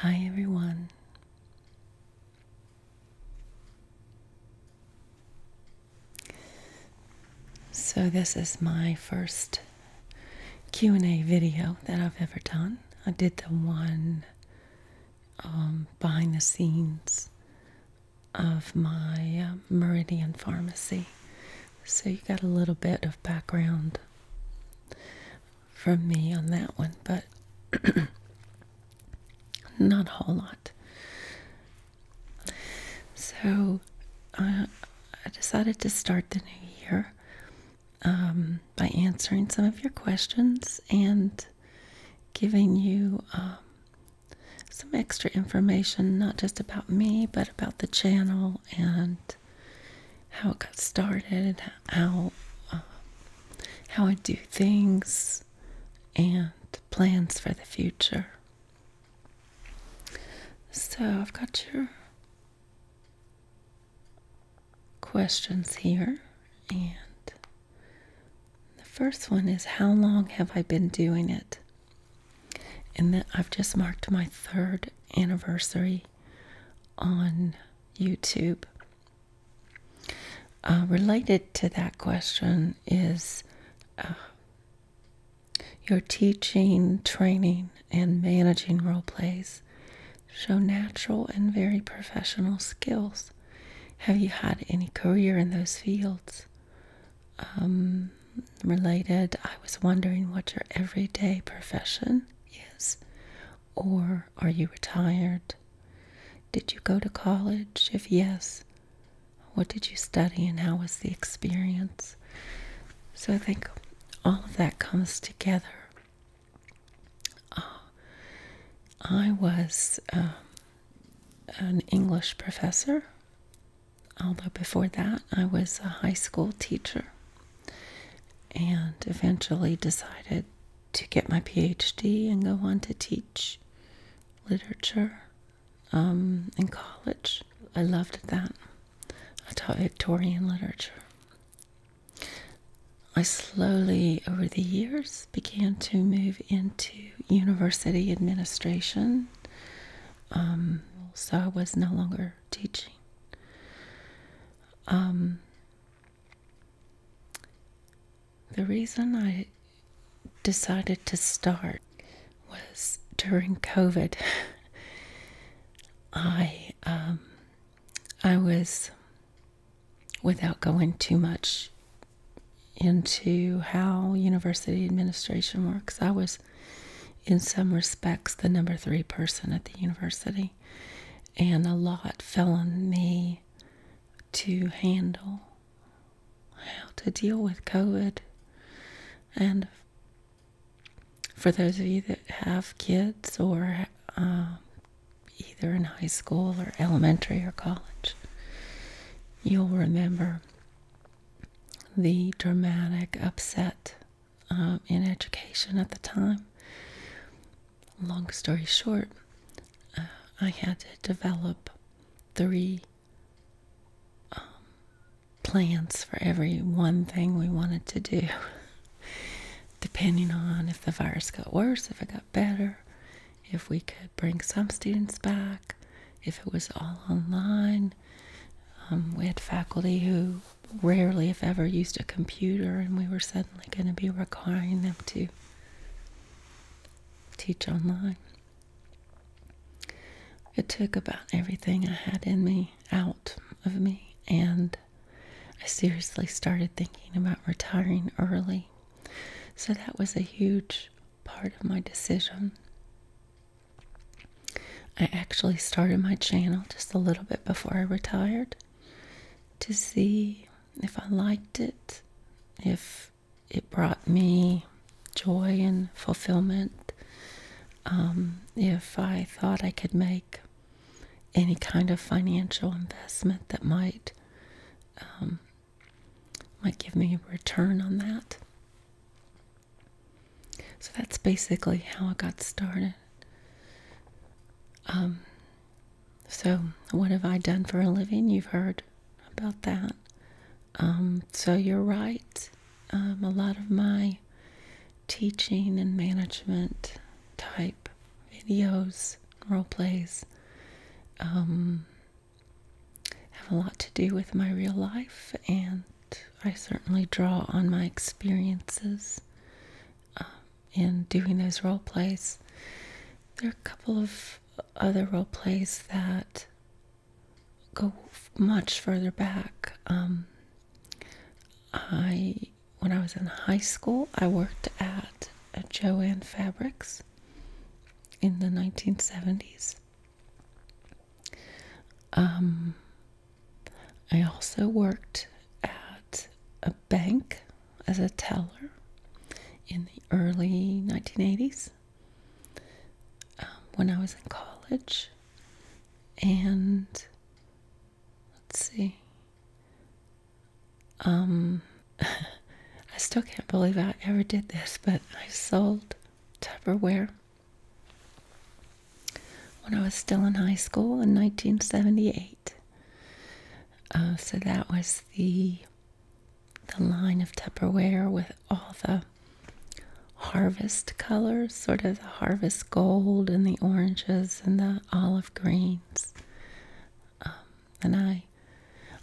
Hi, everyone. So this is my first Q&A video that I've ever done. I did the one um, behind the scenes of my um, Meridian Pharmacy. So you got a little bit of background from me on that one, but not a whole lot. So I decided to start the new year um, by answering some of your questions and giving you um, some extra information, not just about me, but about the channel and how it got started, how uh, how I do things, and plans for the future. So I've got your questions here, and the first one is how long have I been doing it? And that I've just marked my third anniversary on YouTube. Uh, related to that question is uh, your teaching, training, and managing role plays show natural and very professional skills. Have you had any career in those fields? Um, related, I was wondering what your everyday profession is or are you retired? Did you go to college? If yes, what did you study and how was the experience? So I think all of that comes together. Uh, I was um, an English professor, although before that I was a high school teacher and eventually decided to get my PhD and go on to teach literature um, in college. I loved that. I taught Victorian literature. I slowly, over the years, began to move into university administration. Um, so I was no longer teaching. Um, the reason I decided to start was during COVID. I um, I was without going too much into how university administration works. I was in some respects the number 3 person at the university and a lot fell on me to handle how to deal with COVID. And for those of you that have kids or um, either in high school or elementary or college, you'll remember the dramatic upset um, in education at the time long story short, uh, I had to develop three um, plans for every one thing we wanted to do, depending on if the virus got worse, if it got better, if we could bring some students back, if it was all online. Um, we had faculty who rarely, if ever, used a computer, and we were set going to be requiring them to teach online. It took about everything I had in me out of me, and I seriously started thinking about retiring early. So that was a huge part of my decision. I actually started my channel just a little bit before I retired to see if I liked it, if it brought me joy and fulfillment, um, if I thought I could make any kind of financial investment that might um, might give me a return on that. So that's basically how I got started. Um, so, what have I done for a living? You've heard about that. Um, so, you're right. Um, a lot of my teaching and management type videos, role plays, um, have a lot to do with my real life, and I certainly draw on my experiences and doing those role plays. There are a couple of other role plays that go much further back. Um, I, when I was in high school, I worked at a Joann Fabrics in the 1970s. Um, I also worked at a bank as a teller in the early 1980s um, when I was in college. And let's see. Um, I still can't believe I ever did this, but I sold Tupperware when I was still in high school in 1978. Uh, so that was the the line of Tupperware with all the harvest colors, sort of the harvest gold and the oranges and the olive greens. Um, and I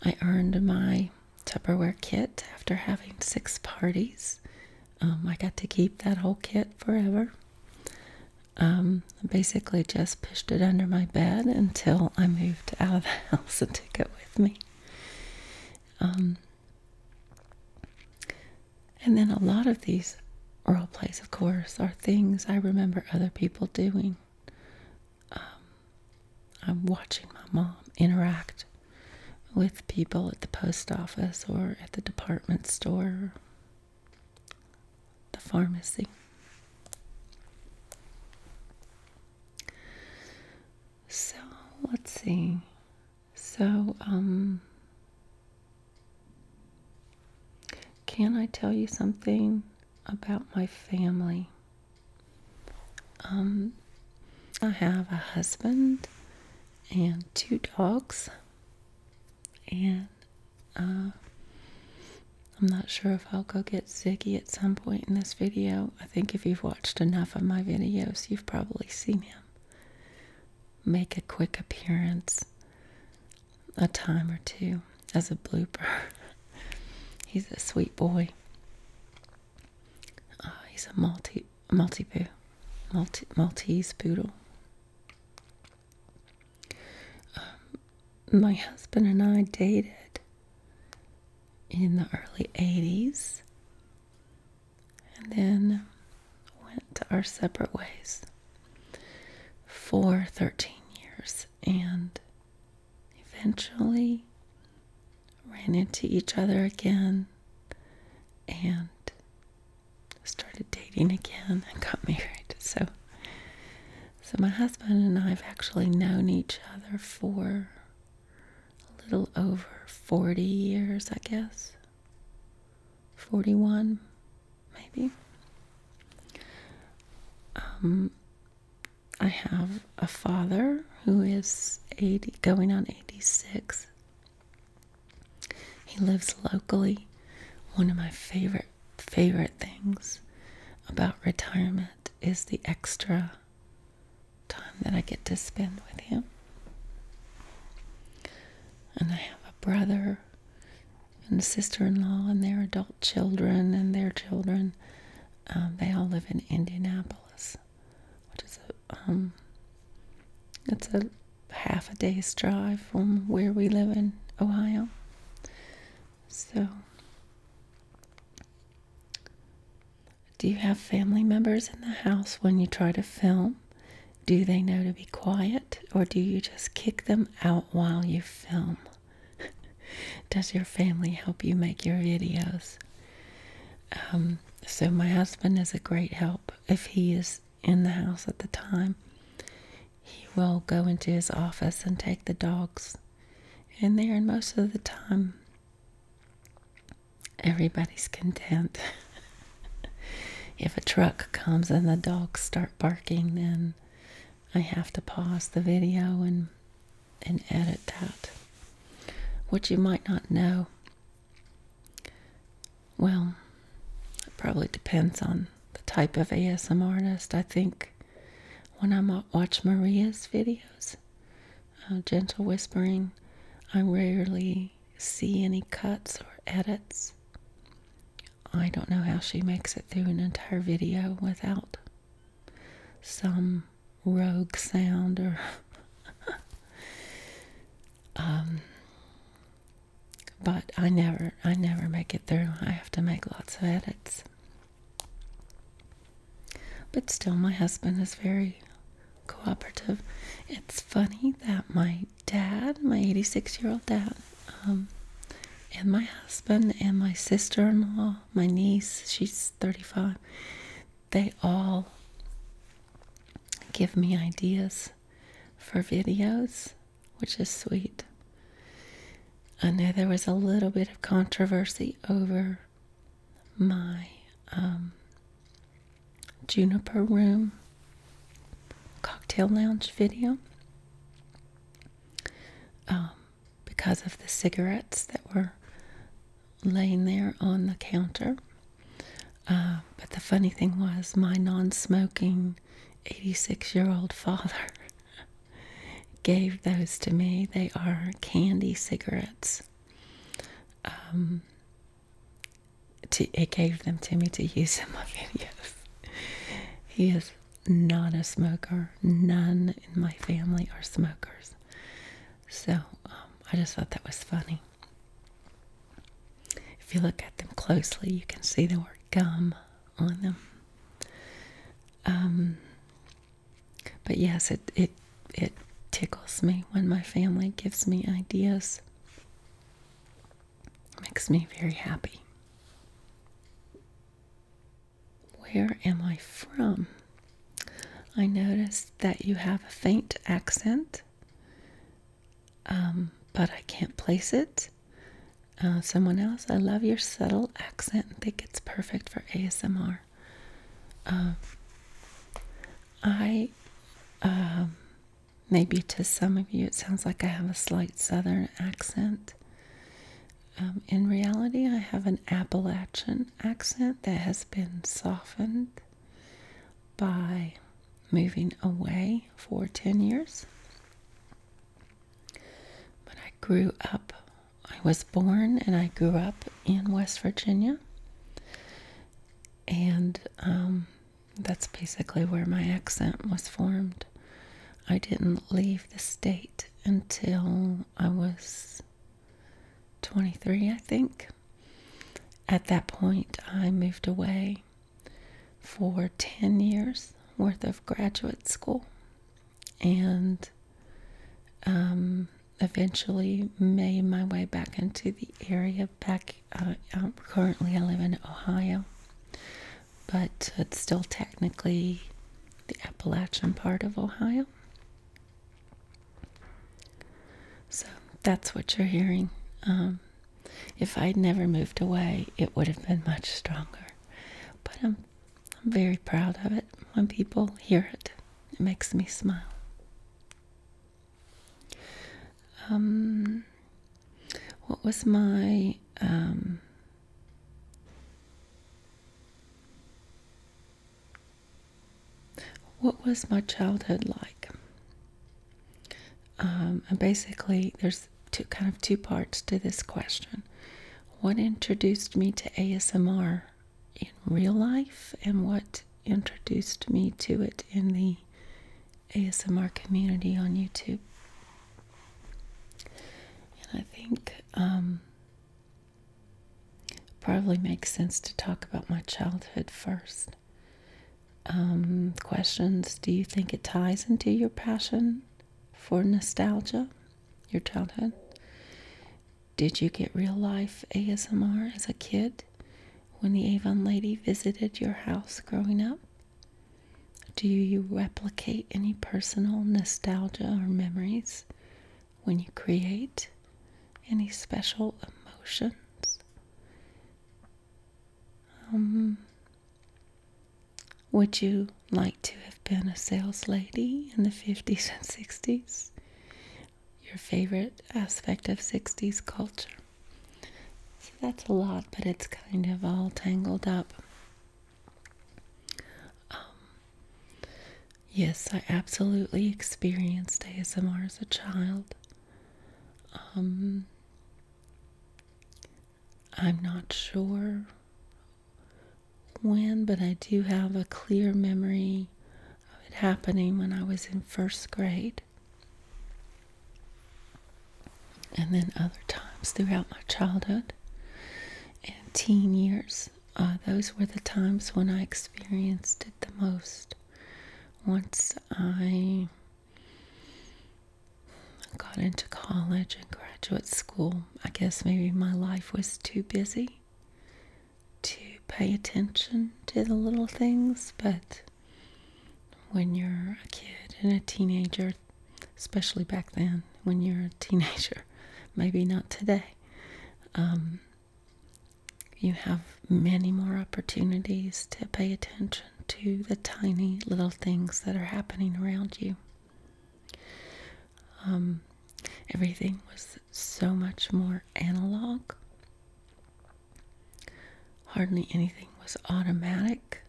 I earned my Tupperware kit after having six parties. Um, I got to keep that whole kit forever. Um, I basically just pushed it under my bed until I moved out of the house and took it with me. Um, and then a lot of these role plays, of course, are things I remember other people doing. Um, I'm watching my mom interact with people at the post office or at the department store the pharmacy. So let's see. So, um, can I tell you something about my family? Um, I have a husband and two dogs, and uh, I'm not sure if I'll go get Ziggy at some point in this video. I think if you've watched enough of my videos, you've probably seen him make a quick appearance a time or two as a blooper. he's a sweet boy. Uh, he's a multi multi poo, multi Maltese poodle. Um, my husband and I dated in the early 80s and then went to our separate ways for 13 years and eventually ran into each other again and started dating again and got married so so, my husband and I have actually known each other for a little over 40 years, I guess. 41, maybe. Um, I have a father who is 80, going on 86. He lives locally. One of my favorite favorite things about retirement is the extra time that I get to spend with him. And I have a brother and sister in law, and their adult children and their children. Um, they all live in Indianapolis, which is a, um, it's a half a day's drive from where we live in Ohio. So, do you have family members in the house when you try to film? Do they know to be quiet or do you just kick them out while you film? Does your family help you make your videos? Um, so, my husband is a great help if he is in the house at the time he will go into his office and take the dogs in there, and most of the time, everybody's content. if a truck comes and the dogs start barking, then I have to pause the video and and edit that. What you might not know. Well, it probably depends on the type of ASM artist. I think when I watch Maria's videos, uh, gentle whispering, I rarely see any cuts or edits. I don't know how she makes it through an entire video without some rogue sound or um but I never I never make it through. I have to make lots of edits. But still, my husband is very cooperative. It's funny that my dad, my 86 year old dad, um, and my husband, and my sister in law, my niece, she's 35, they all give me ideas for videos, which is sweet. I know there was a little bit of controversy over my um, juniper room cocktail lounge video um, because of the cigarettes that were laying there on the counter. Uh, but the funny thing was, my non smoking 86 year old father gave those to me. They are candy cigarettes. Um, it gave them to me to use in my videos. he is not a smoker. None in my family are smokers. So um, I just thought that was funny. If you look at them closely, you can see they were gum on them. Um, but yes, it it it tickles me when my family gives me ideas. makes me very happy. Where am I from? I notice that you have a faint accent, um, but I can't place it. Uh, someone else, I love your subtle accent. I think it's perfect for ASMR. Um, I, um, maybe to some of you, it sounds like I have a slight southern accent. Um, in reality, I have an Appalachian accent that has been softened by moving away for 10 years. But I grew up I was born and I grew up in West Virginia, and um, that's basically where my accent was formed. I didn't leave the state until I was 23, I think. At that point, I moved away for 10 years worth of graduate school and um, eventually made my way back into the area. Back uh, um, currently, I live in Ohio, but it's still technically the Appalachian part of Ohio. So that's what you're hearing. Um, if I'd never moved away, it would have been much stronger. But I'm I'm very proud of it. When people hear it, it makes me smile. Um, what was my um, what was my childhood like? Um, and basically, there's two kind of two parts to this question what introduced me to ASMR in real life and what introduced me to it in the ASMR community on YouTube. And I think um, probably makes sense to talk about my childhood first. Um, questions Do you think it ties into your passion for nostalgia? your childhood? Did you get real life ASMR as a kid when the Avon lady visited your house growing up? Do you replicate any personal nostalgia or memories when you create any special emotions? Um, would you like to have been a sales lady in the 50s and 60s? Your favorite aspect of 60s culture. So that's a lot, but it's kind of all tangled up. Um, yes, I absolutely experienced ASMR as a child. Um, I'm not sure when, but I do have a clear memory of it happening when I was in first grade. And then other times throughout my childhood and teen years, uh, those were the times when I experienced it the most. Once I got into college and graduate school, I guess maybe my life was too busy to pay attention to the little things, but when you're a kid and a teenager, especially back then, when you're a teenager, maybe not today, um, you have many more opportunities to pay attention to the tiny little things that are happening around you. Um, everything was so much more analog. Hardly anything was automatic.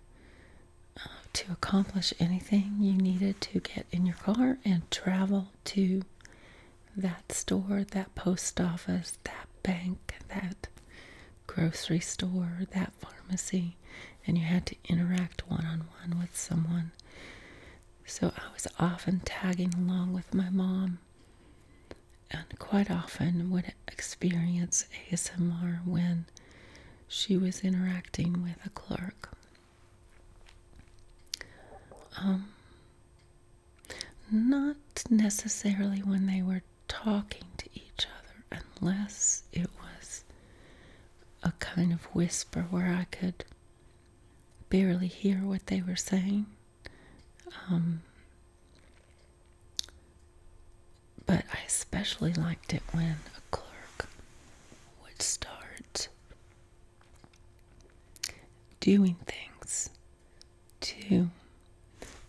Uh, to accomplish anything, you needed to get in your car and travel to that store, that post office, that bank, that grocery store, that pharmacy, and you had to interact one on one with someone. So I was often tagging along with my mom and quite often would experience ASMR when she was interacting with a clerk. Um, not necessarily when they were talking to each other, unless it was a kind of whisper where I could barely hear what they were saying. Um, but I especially liked it when a clerk would start doing things to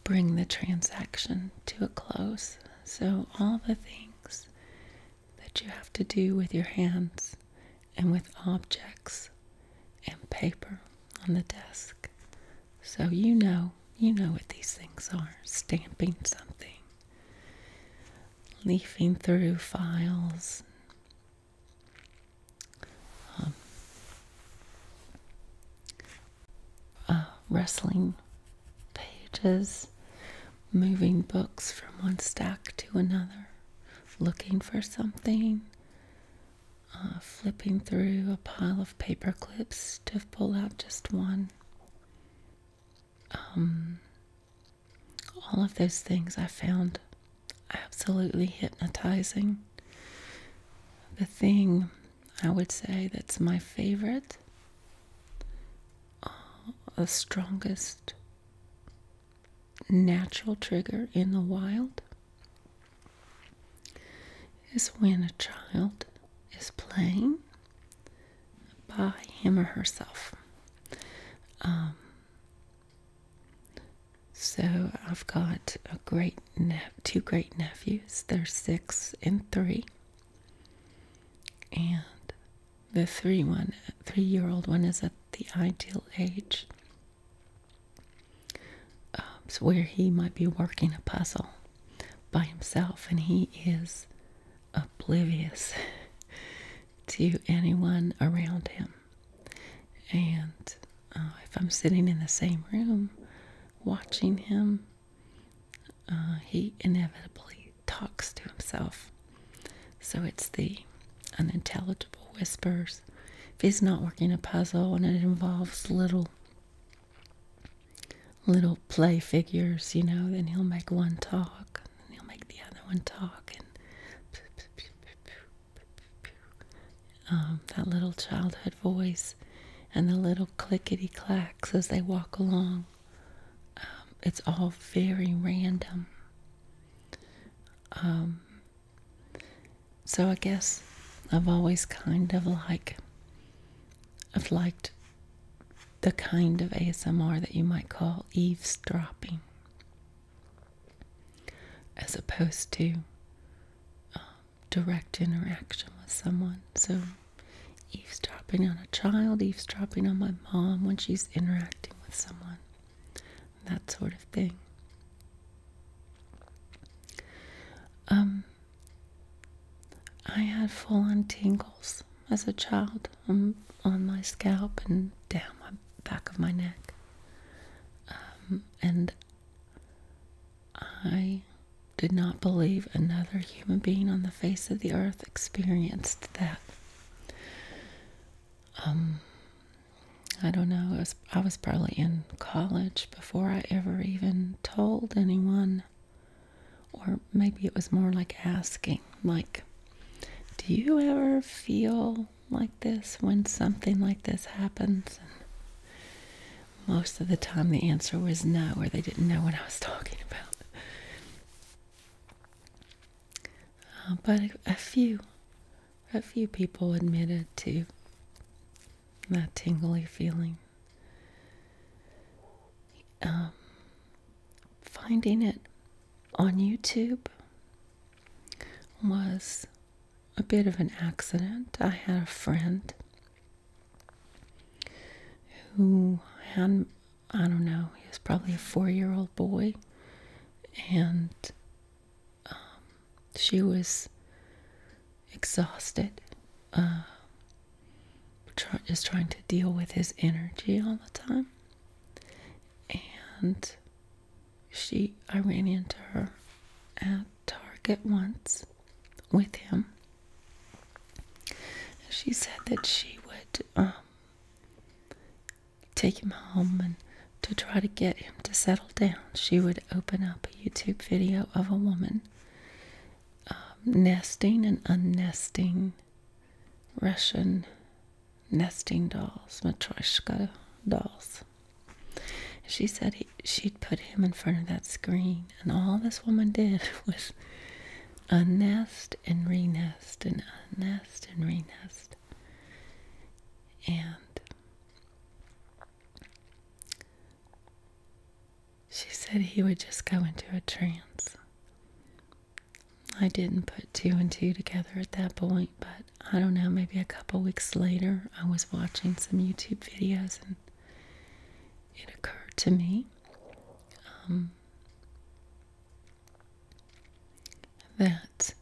bring the transaction to a close. So, all the things that you have to do with your hands and with objects and paper on the desk. So you know, you know what these things are stamping something, leafing through files. wrestling um, uh, pages, moving books from one stack to another, looking for something, uh, flipping through a pile of paper clips to pull out just one. Um, all of those things I found absolutely hypnotizing. The thing I would say that's my favorite, uh, the strongest natural trigger in the wild is when a child is playing by him or herself. Um, so I've got a great two great nephews. They're six and three, and the three one three year old one is at the ideal age um, where he might be working a puzzle by himself and he is oblivious to anyone around him and uh, if i'm sitting in the same room watching him uh, he inevitably talks to himself so it's the unintelligible whispers. If he's not working a puzzle and it involves little little play figures, you know, then he'll make one talk and he'll make the other one talk and um, that little childhood voice and the little clickety clacks as they walk along. Um, it's all very random. Um, so I guess I've always kind of like I've liked the kind of ASMR that you might call eavesdropping, as opposed to um, direct interaction with someone. So eavesdropping on a child, eavesdropping on my mom when she's interacting with someone that sort of thing. Um, I had full on tingles as a child on, my scalp and down my back of my neck. Um, and I did not believe another human being on the face of the earth experienced that. Um, I don't know. I was probably in college before I ever even told anyone. Or maybe it was more like asking, like, do you ever feel like this when something like this happens? And most of the time the answer was no, or they didn't know what I was talking about. Uh, but a few a few people admitted to that tingly feeling. Um, finding it on YouTube was a bit of an accident. I had a friend who had, I don't know, he was probably a four year old boy, and um, she was exhausted, uh, just trying to deal with his energy all the time. And she, I ran into her at Target once with him. She said that she would um, take him home and to try to get him to settle down, she would open up a YouTube video of a woman um, nesting and unnesting Russian nesting dolls, Matryoshka dolls. She said she'd put him in front of that screen, and all this woman did was unnest and renest and unnest and renest. And she said he would just go into a trance. I didn't put two and two together at that point, but I don't know, maybe a couple weeks later, I was watching some YouTube videos and it occurred to me um, that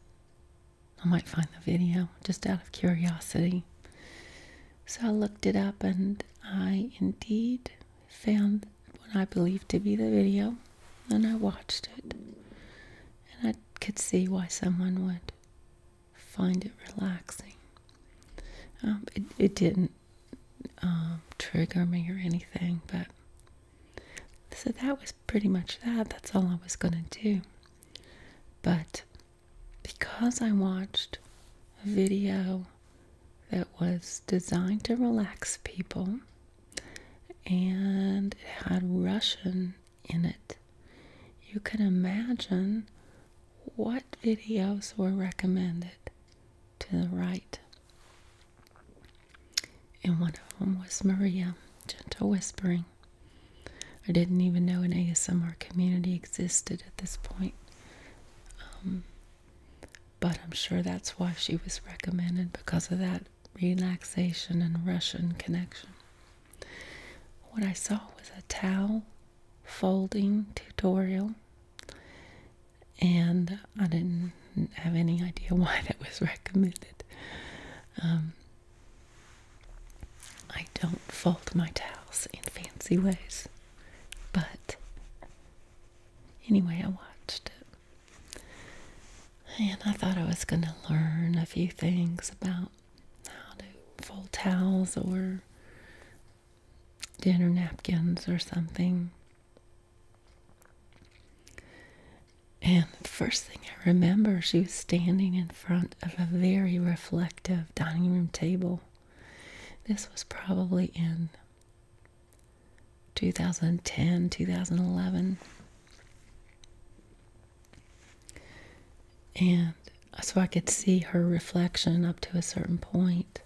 I might find the video just out of curiosity. So I looked it up and I indeed found what I believed to be the video and I watched it. And I could see why someone would find it relaxing. Um, it, it didn't um, trigger me or anything, but so that was pretty much that. That's all I was going to do. But because I watched a video that was designed to relax people and it had Russian in it, you can imagine what videos were recommended to the right. And one of them was Maria, Gentle Whispering. I didn't even know an ASMR community existed at this point. Um, but I'm sure that's why she was recommended because of that relaxation and Russian connection. What I saw was a towel folding tutorial, and I didn't have any idea why that was recommended. Um, I don't fold my towels in fancy ways, but anyway, I watched it. And I thought I was going to learn a few things about how to fold towels or dinner napkins or something. And the first thing I remember, she was standing in front of a very reflective dining room table. This was probably in 2010, 2011. And so I could see her reflection up to a certain point.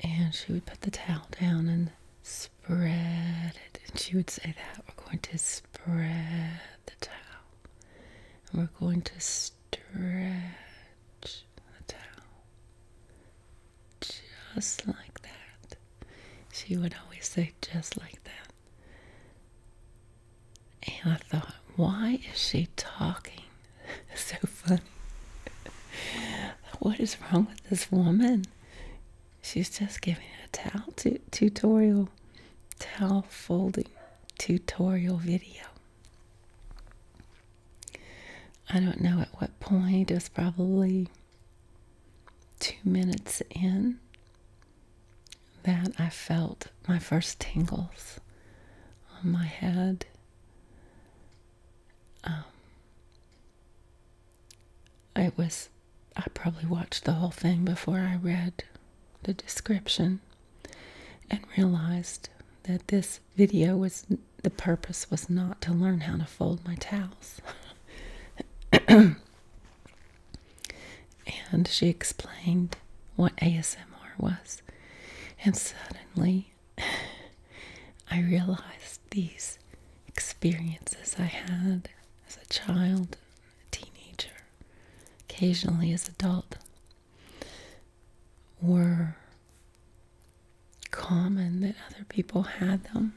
And she would put the towel down and spread it. And she would say that. We're going to spread the towel. And we're going to stretch the towel. Just like that. She would always say, just like that. And I thought, why is she talking? so funny. what is wrong with this woman? She's just giving a towel tutorial, towel folding tutorial video. I don't know at what point, it was probably two minutes in that I felt my first tingles on my head. Um, it was, I probably watched the whole thing before I read the description and realized that this video was the purpose was not to learn how to fold my towels. and she explained what ASMR was. And suddenly I realized these experiences I had as a child teenager, occasionally as adult, were common that other people had them,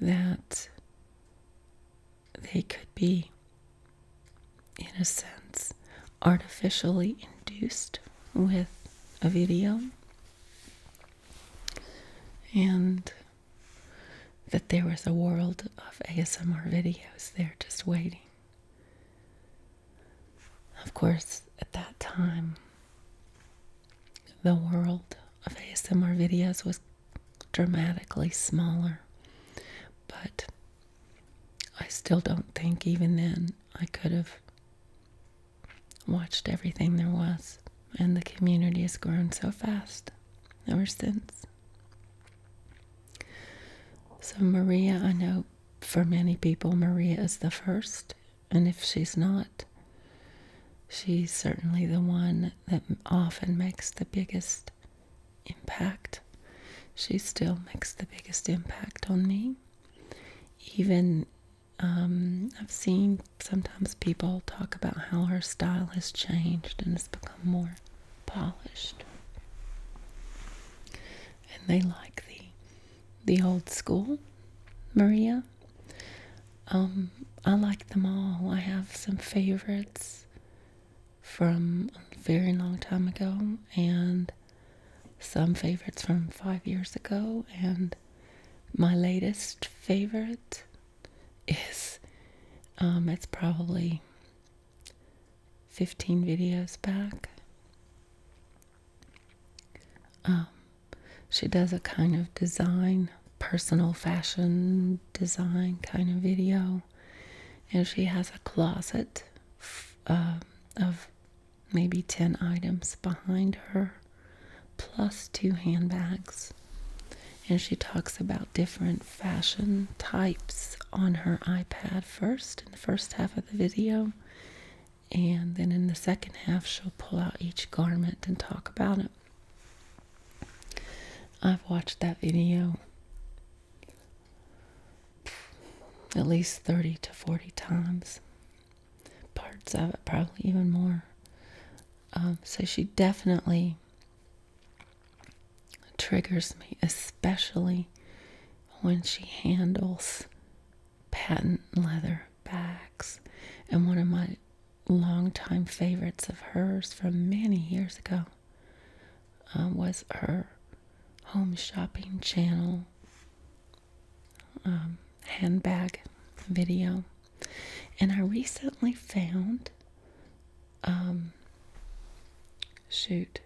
that they could be, in a sense, artificially induced with a video. And that there was a world of ASMR videos there just waiting. Of course, at that time, the world of ASMR videos was dramatically smaller, but I still don't think even then I could have watched everything there was and the community has grown so fast ever since. So, Maria, I know for many people, Maria is the first, and if she's not, she's certainly the one that often makes the biggest impact. She still makes the biggest impact on me. Even um, I've seen sometimes people talk about how her style has changed and has become more polished. And they like the the old school, Maria. Um, I like them all. I have some favorites from a very long time ago and some favorites from five years ago and my latest favorite is um, it's probably 15 videos back. Um, she does a kind of design, personal fashion design kind of video, and she has a closet um, of maybe 10 items behind her, plus two handbags. And she talks about different fashion types on her iPad first in the first half of the video. And then in the second half, she'll pull out each garment and talk about it. I've watched that video at least 30 to 40 times. Parts of it, probably even more. Um, so she definitely triggers me, especially when she handles patent leather bags. And one of my longtime favorites of hers from many years ago um, was her home shopping channel um, handbag video. And I recently found um, shoot.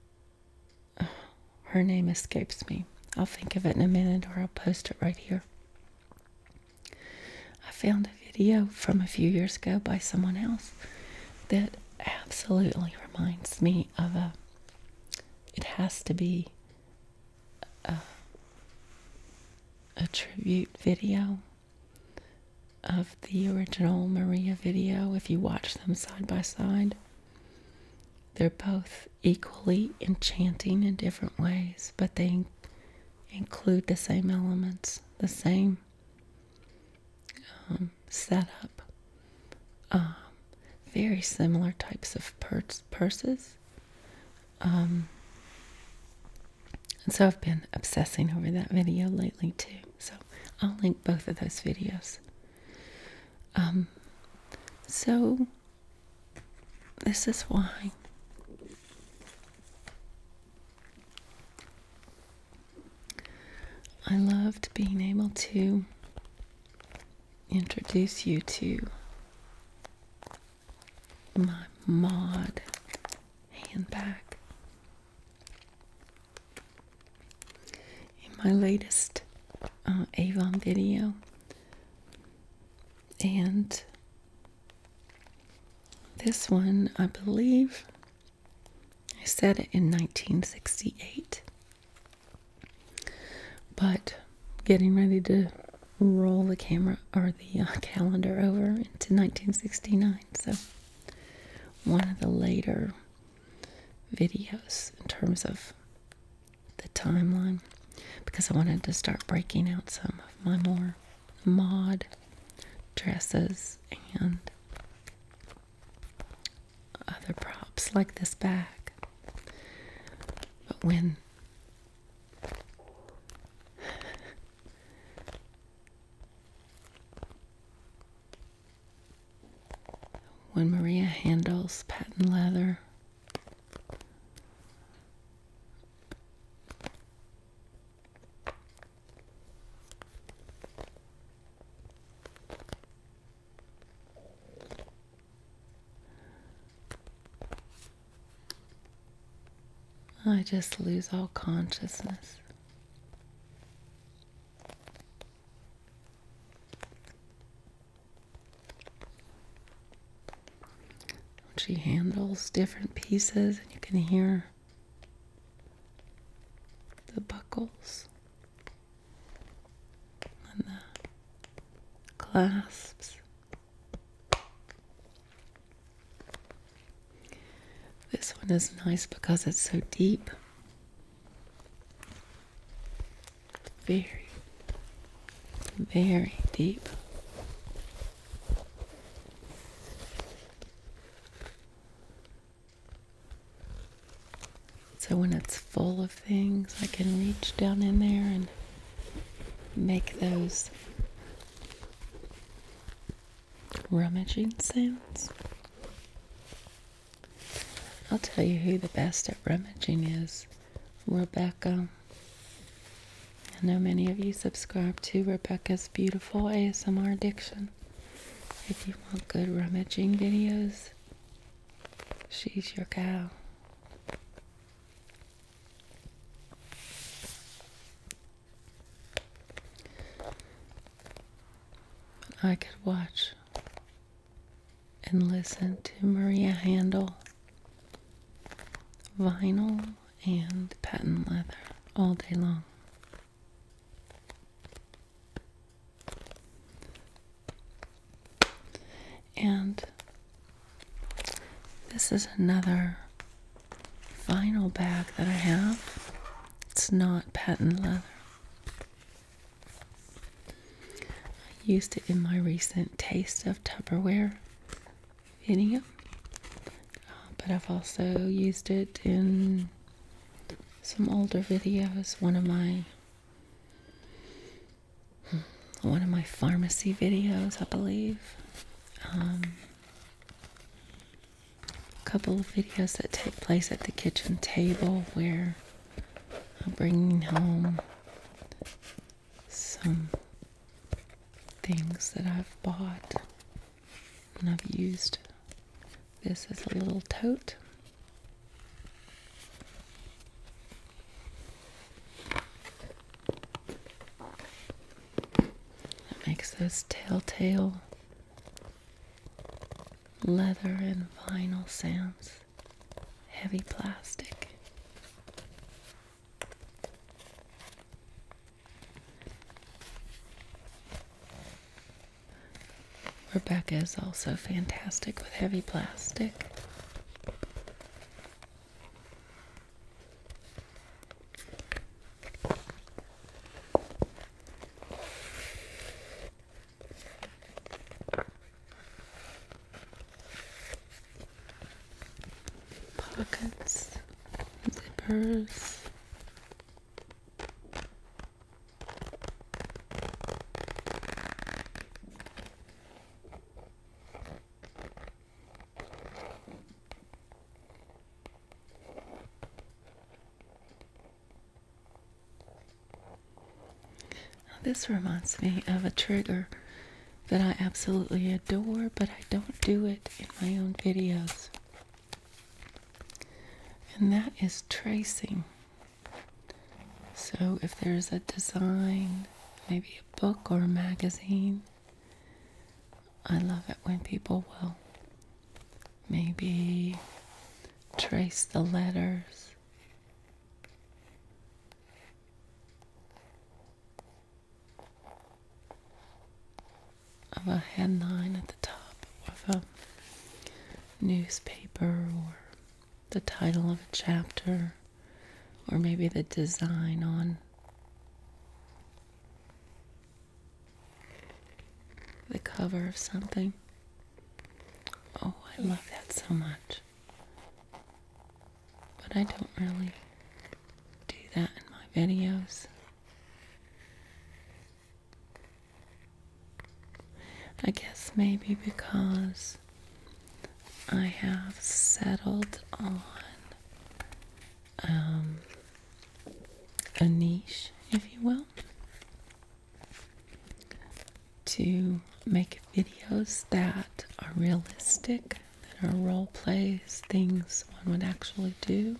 her name escapes me. I'll think of it in a minute or I'll post it right here. I found a video from a few years ago by someone else that absolutely reminds me of a. It has to be a, tribute video of the original Maria video if you watch them side by side. They're both equally enchanting in different ways, but they include the same elements, the same um, setup, um, very similar types of purses, um, and so I've been obsessing over that video lately too. So I'll link both of those videos. Um, so this is why. I loved being able to introduce you to my mod handbag. In my latest uh, Avon video, and this one, I believe, I said it in 1968, but getting ready to roll the camera or the uh, calendar over into 1969. So, one of the later videos in terms of the timeline because I wanted to start breaking out some of my more mod dresses and other props like this bag. But when when Maria handles patent leather, I just lose all consciousness. She handles different pieces, and you can hear the buckles and the clasps. This one is nice because it's so deep. Very, very deep. So when it's full of things, I can reach down in there and make those rummaging sounds. I'll tell you who the best at rummaging is Rebecca. I know many of you subscribe to Rebecca's beautiful ASMR addiction. If you want good rummaging videos, she's your gal. I could watch and listen to Maria Handel, vinyl and patent leather all day long. And this is another vinyl bag that I have. It's not patent leather. I used it in my recent Taste of Tupperware video, uh, but I've also used it in some older videos. One of my one of my pharmacy videos, I believe. Um, a couple of videos that take place at the kitchen table where I'm bringing home some things that I've bought and I've used this is a little tote. It makes those telltale leather and vinyl sounds, heavy plastic. Rebecca is also fantastic with heavy plastic. Pockets, zippers this reminds me of a trigger that I absolutely adore, but I don't do it in my own videos. And that is tracing. So if there's a design, maybe a book or a magazine I love it when people will maybe trace the letters. Of a headline at the top of a newspaper, or the title of a chapter, or maybe the design on the cover of something. Oh, I love that so much. But I don't really do that in my videos. I guess maybe because I have settled on um, a niche, if you will, to make videos that are realistic, that are role plays, things one would actually do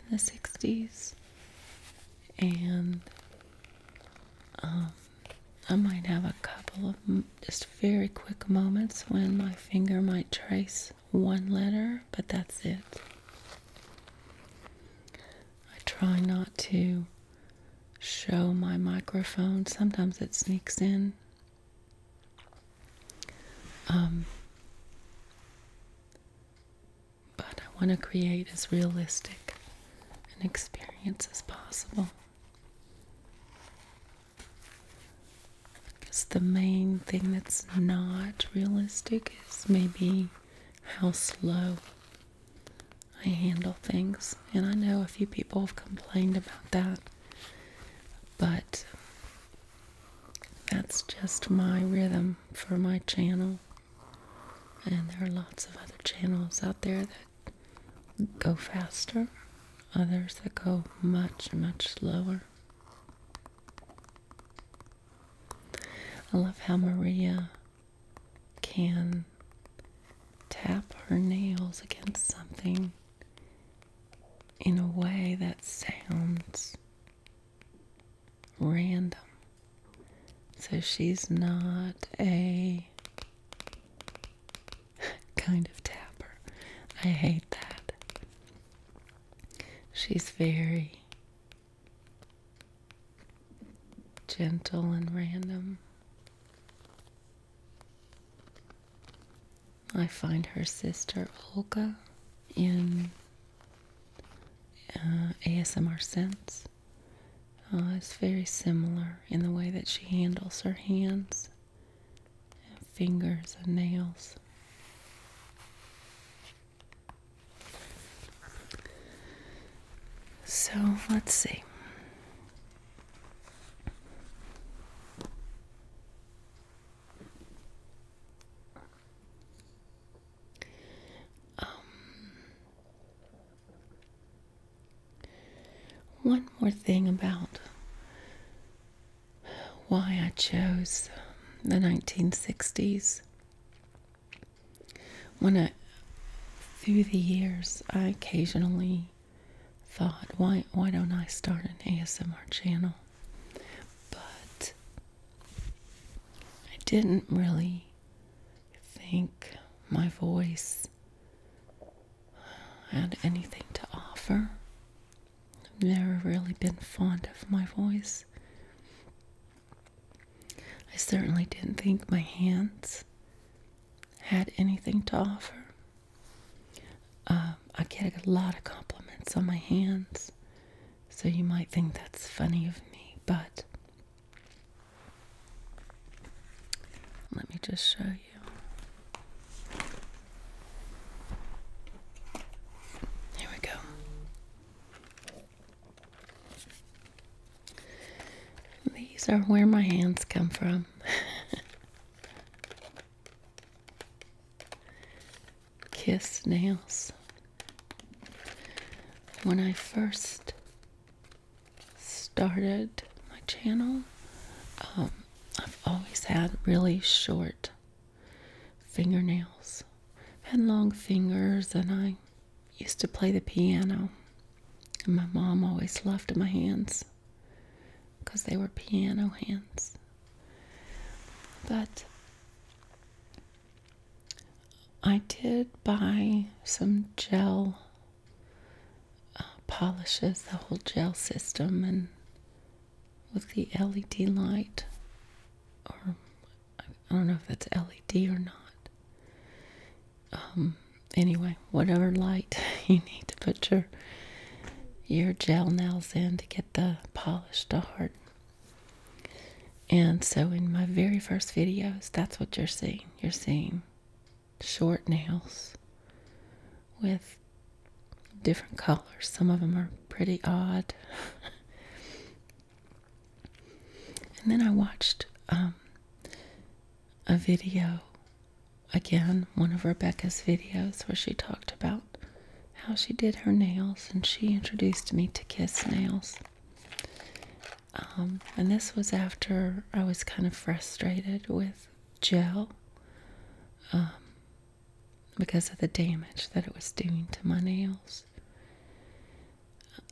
in the 60s. And um, I might have a couple of just very quick moments when my finger might trace one letter, but that's it. I try not to show my microphone. Sometimes it sneaks in. Um, but I want to create as realistic an experience as possible. I guess the main thing that's not realistic is maybe how slow I handle things. And I know a few people have complained about that, but that's just my rhythm for my channel. And there are lots of other channels out there that go faster, others that go much, much slower. I love how Maria can tap her nails against something in a way that sounds random. So she's not a kind of tapper. I hate that. She's very gentle and random. I find her sister Olga in uh, ASMR Sense. Uh, it's very similar in the way that she handles her hands fingers and nails. So let's see. Um, one more thing about why I chose um, the 1960s. When I, through the years, I occasionally thought, why, why don't I start an ASMR channel? But I didn't really think my voice had anything to offer I've never really been fond of my voice. I certainly didn't think my hands had anything to offer. Um, I get a lot of compliments on my hands, so you might think that's funny of me, but let me just show you. Here we go. These are where my hands come from. Kiss nails. When I first started my channel, um, I've always had really short fingernails. I had long fingers, and I used to play the piano. And my mom always loved my hands because they were piano hands. But I did buy some gel uh, polishes, the whole gel system, and with the LED light, or I don't know if that's LED or not. Um, anyway, whatever light you need to put your your gel nails in to get the polish to harden. And so in my very first videos, that's what you're seeing. You're seeing short nails with different colors. Some of them are pretty odd. and then I watched um, a video again, one of Rebecca's videos, where she talked about how she did her nails and she introduced me to Kiss Nails. Um, and this was after I was kind of frustrated with gel. Um, because of the damage that it was doing to my nails.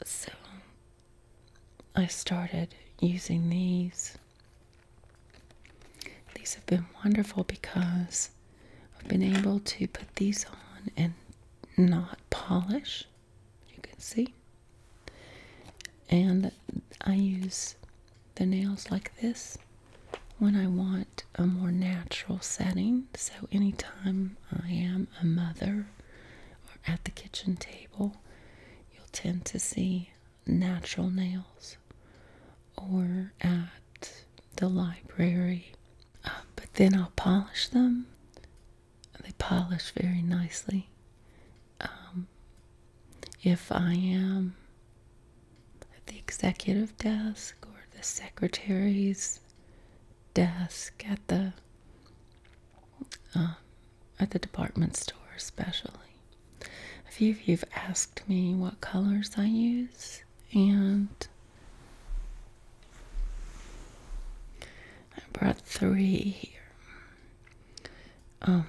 So I started using these. These have been wonderful because I've been able to put these on and not polish, you can see. And I use the nails like this when I want a more natural setting. So, anytime I am a mother or at the kitchen table, you'll tend to see natural nails or at the library. Uh, but then I'll polish them. They polish very nicely. Um, if I am at the executive desk or the secretary's desk at the um, at the department store, especially. A few of you've asked me what colors I use, and I brought three here. Um,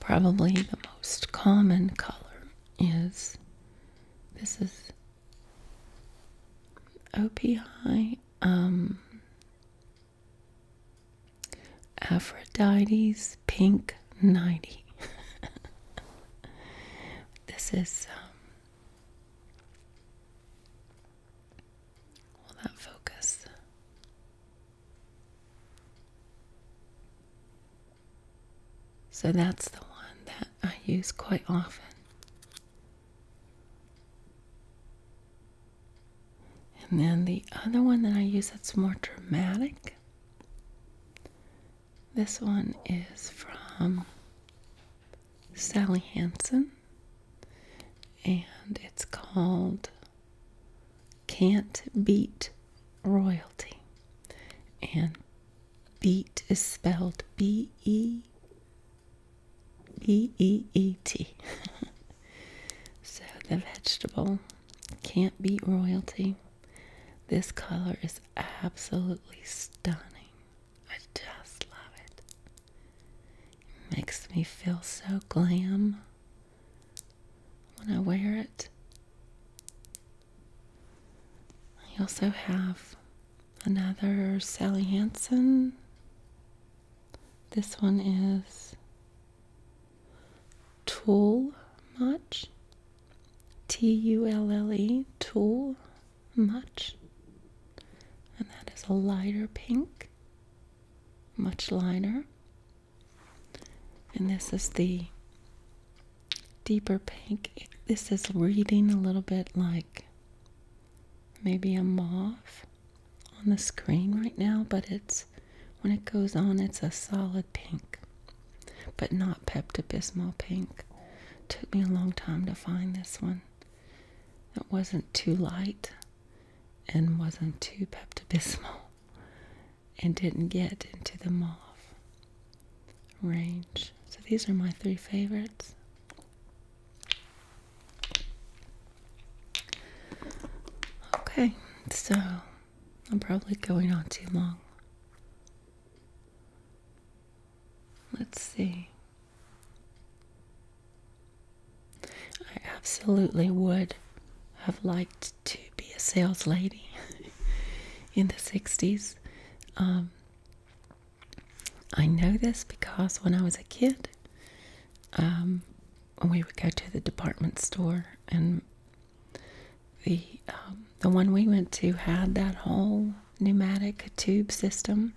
probably the most common color is this is OP High, um, Aphrodite's Pink 90. this is, um, will that focus? So that's the one that I use quite often. And then the other one that I use that's more dramatic. This one is from Sally Hansen, and it's called Can't Beat Royalty. And Beat is spelled B E E E E T. so the vegetable can't beat royalty. This color is absolutely stunning. I just love it. It makes me feel so glam when I wear it. I also have another Sally Hansen. This one is Tool Much. T U L L E, Tool Much. And that is a lighter pink, much Liner. And this is the deeper pink. This is reading a little bit like maybe a mauve on the screen right now, but it's when it goes on, it's a solid pink, but not Pepto pink. Took me a long time to find this one It wasn't too light and wasn't too Pepto and didn't get into the mauve range. So these are my three favorites. Okay, so I'm probably going on too long. Let's see. I absolutely would have liked to be a sales lady in the 60s. I know this because when I was a kid, um, we would go to the department store, and the um, the one we went to had that whole pneumatic tube system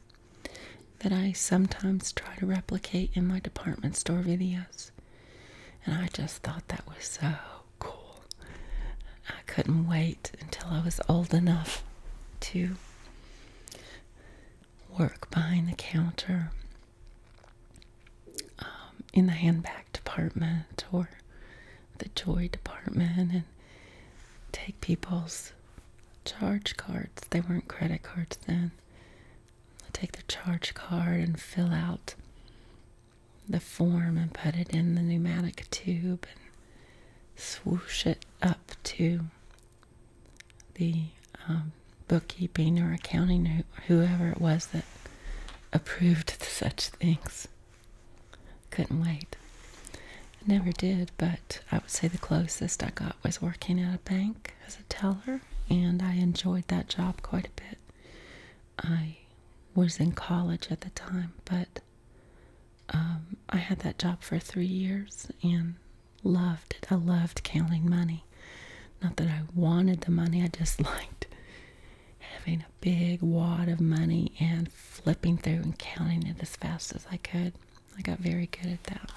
that I sometimes try to replicate in my department store videos. And I just thought that was so cool. I couldn't wait until I was old enough to work behind the counter um, in the handbag department or the toy department and take people's charge cards. They weren't credit cards then. take the charge card and fill out the form and put it in the pneumatic tube swoosh it up to the um, bookkeeping or accounting, or whoever it was that approved such things. Couldn't wait. never did, but I would say the closest I got was working at a bank as a teller, and I enjoyed that job quite a bit. I was in college at the time, but um, I had that job for three years and loved it. I loved counting money. Not that I wanted the money, I just liked having a big wad of money and flipping through and counting it as fast as I could. I got very good at that.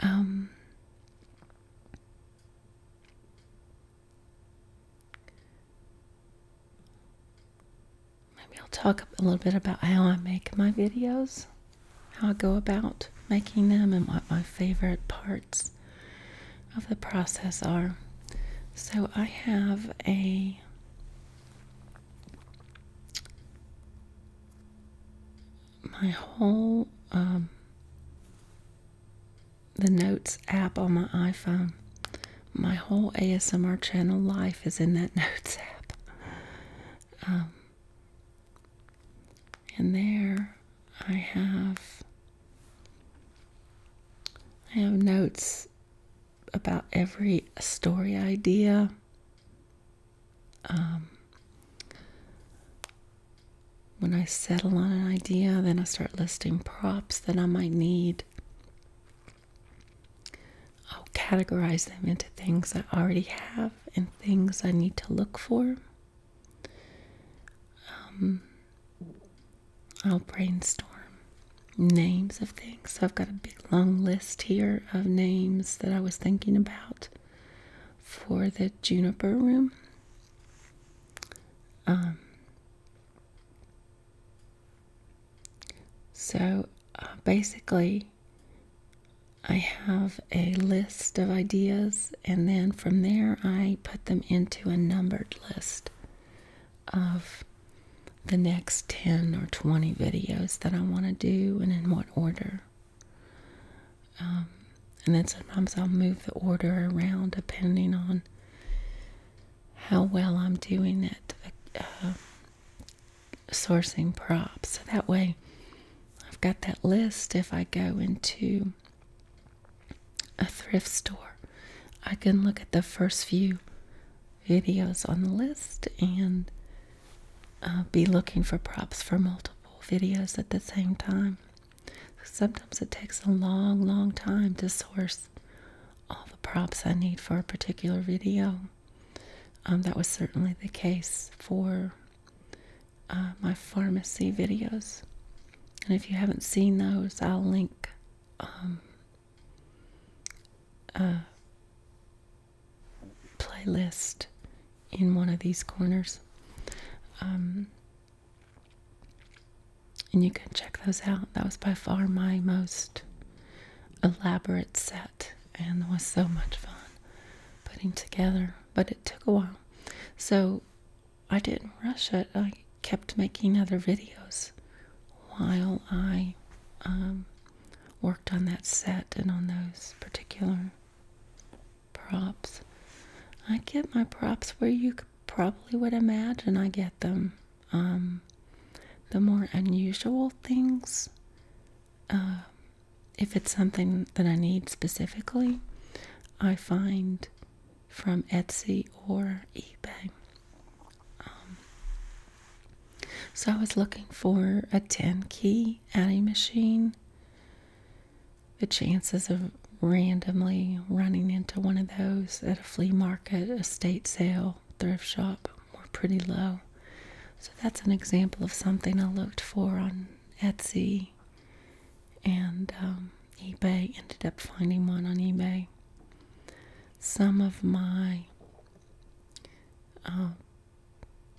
Um, Maybe I'll talk a little bit about how I make my videos, how I go about making them, and what my favorite parts of the process are. So I have a my whole um, the Notes app on my iPhone. My whole ASMR channel life is in that Notes app. Um, and there I have I have notes about every story idea. Um, when I settle on an idea, then I start listing props that I might need. I'll categorize them into things I already have and things I need to look for. Um, I'll brainstorm names of things. I've got a big long list here of names that I was thinking about for the juniper room. Um, so uh, basically, I have a list of ideas, and then from there, I put them into a numbered list of the next 10 or 20 videos that I want to do and in what order. Um, and then sometimes I'll move the order around depending on how well I'm doing at uh, sourcing props. So that way I've got that list. If I go into a thrift store, I can look at the first few videos on the list and uh, be looking for props for multiple videos at the same time. Sometimes it takes a long, long time to source all the props I need for a particular video. Um, that was certainly the case for uh, my pharmacy videos. And if you haven't seen those, I'll link um, a playlist in one of these corners. Um, and you can check those out. That was by far my most elaborate set and was so much fun putting together, but it took a while. So I didn't rush it. I kept making other videos while I um, worked on that set and on those particular props. I get my props where you probably would imagine I get them um, the more unusual things, um, if it's something that I need specifically, I find from Etsy or eBay. Um, so I was looking for a 10 key adding machine. The chances of randomly running into one of those at a flea market at a estate sale, thrift shop were pretty low. So that's an example of something I looked for on Etsy and um, eBay. Ended up finding one on eBay. Some of my um,